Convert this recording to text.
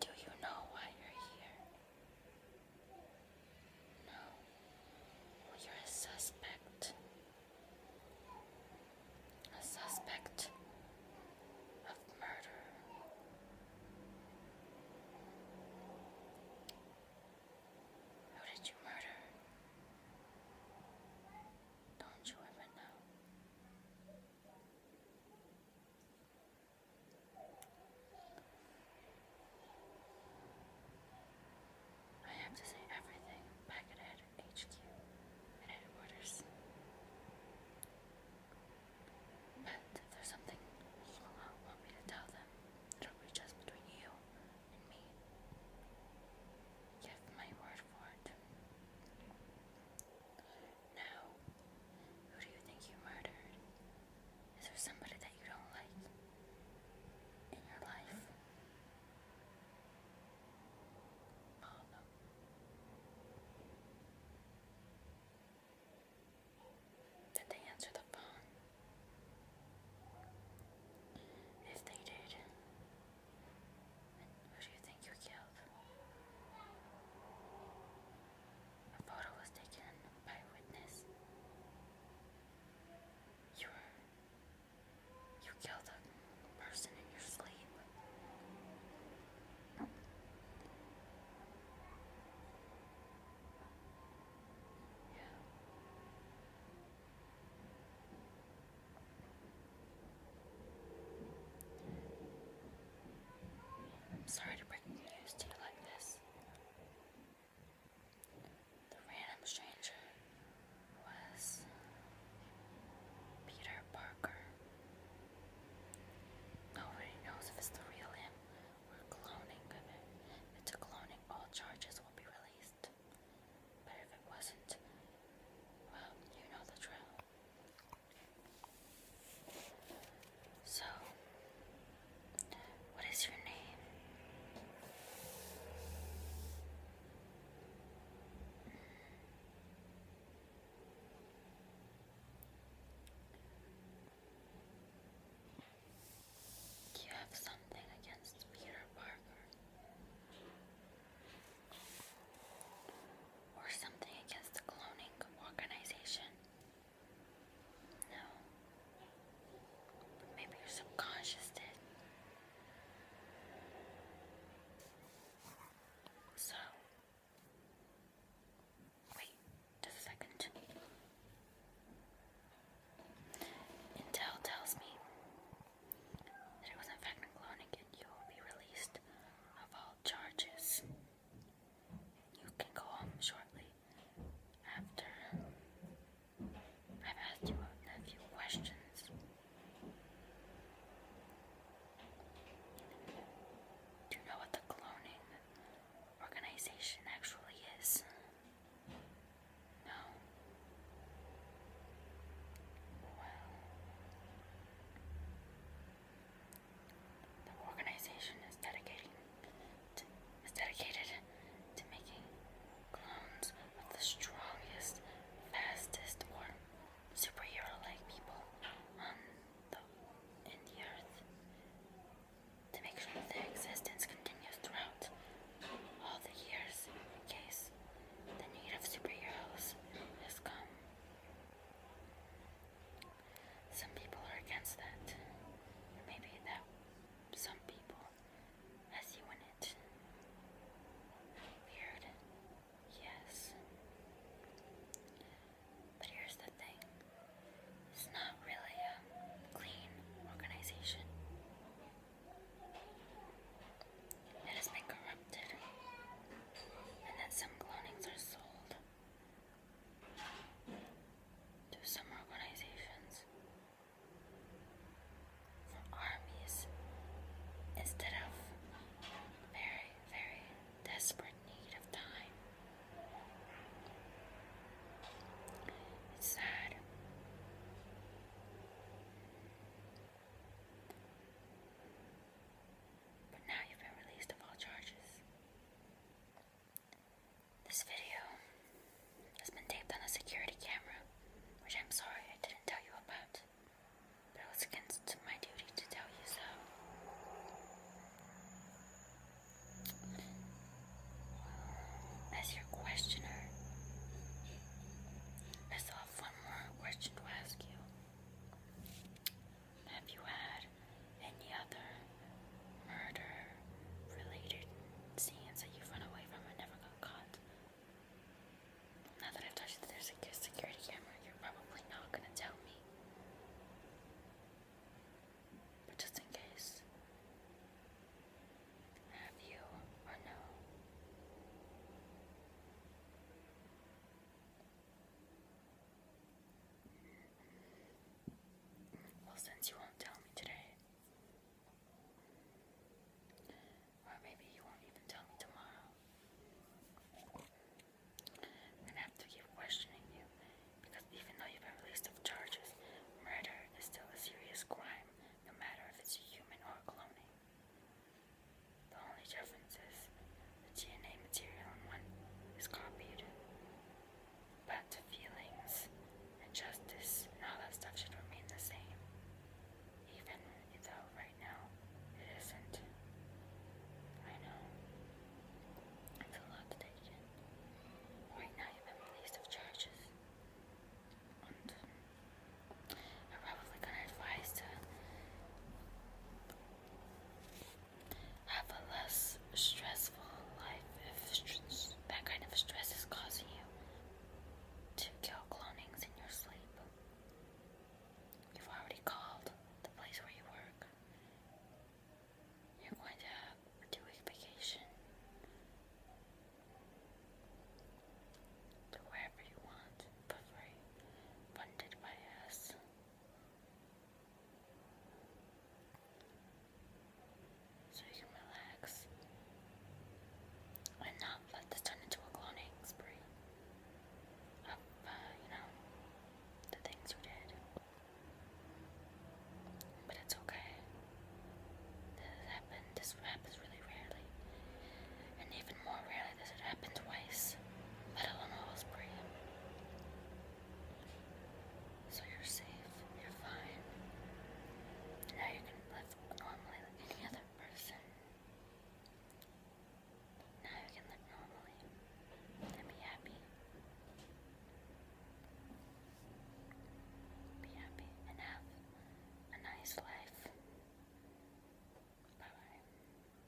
Do you know why you're here? No. you're a suspect. A suspect of murder. Who did you murder? Don't you ever know? I have to say everything back at HQ at headquarters. But if there's something you want me to tell them, it'll be just between you and me. Give my word for it. No. Who do you think you murdered? Is there somebody that you don't like in your life? Mama. Did they answer the phone? If they did, who do you think you killed? A photo was taken by a witness. You were. You killed a person in your sleep. Yeah. I'm sorry to bring news to you like this. The random stranger was Peter Parker. Nobody knows if it's the real him or cloning him. If it's a cloning, all charges will be released. But if it wasn't, well, you know the drill. So, what is your name? Do you have something against Peter Parker? or something against the cloning organization? No. Maybe your subconscious did. So, wait a second. Intel tells me that it was in fact cloning and you will be released of all charges. You can go home shortly after I've asked you a few questions. Do you know what the cloning organization actually is? No. Well, the organization is dedicated to making clones of the strongest, fastest, or superhero-like people on the in the earth to make sure their existence continues throughout all the years. In case the need of superheroes has come. Some people are against that. maybe that some people as you in it. Weird. Yes. But here's the thing. It's not really a clean organization. It has been corrupted. And that some clonings are sold to some organizations, for armies, instead of very, very desperate need of time. It's sad but now you've been released of all charges. This video has been taped on a security camera, which I'm sorry I didn't tell you about, but it was against my duty to tell you so. As your questioner, I still one more question to ask you. Have you had any other murder-related scenes that you run away from and never got caught? Now that I've touched there's a security camera, you're probably not gonna tell me. But just in case, have you or no? Well, since you won't tell me today, or maybe you won't even tell me tomorrow, I'm gonna have to keep questioning you because even though you've been released of charges, murder is still a serious crime, no matter if it's human or cloning. The only difference is the DNA material in one is copied. But the feelings and justice and all that stuff should remain the same. Even though right now it isn't. I know. It's a lot to take in. Right now you've been released of charges. And I'm probably gonna advise to have a less stressful life if that kind of stress is causing you to kill clonings in your sleep. You've already called the place where you work. You're going to have two week vacation to wherever you want for free, funded by us. So you can relax and not let this turn into a cloning spree of, uh, you know, the things we did. But it's okay. This happens. This happens really rarely, and even even more rarely does it happen twice, let alone a So you're safe, you're fine. Now you can live normally like any other person. Now you can live normally and be happy. Be happy and have a nice life. bye.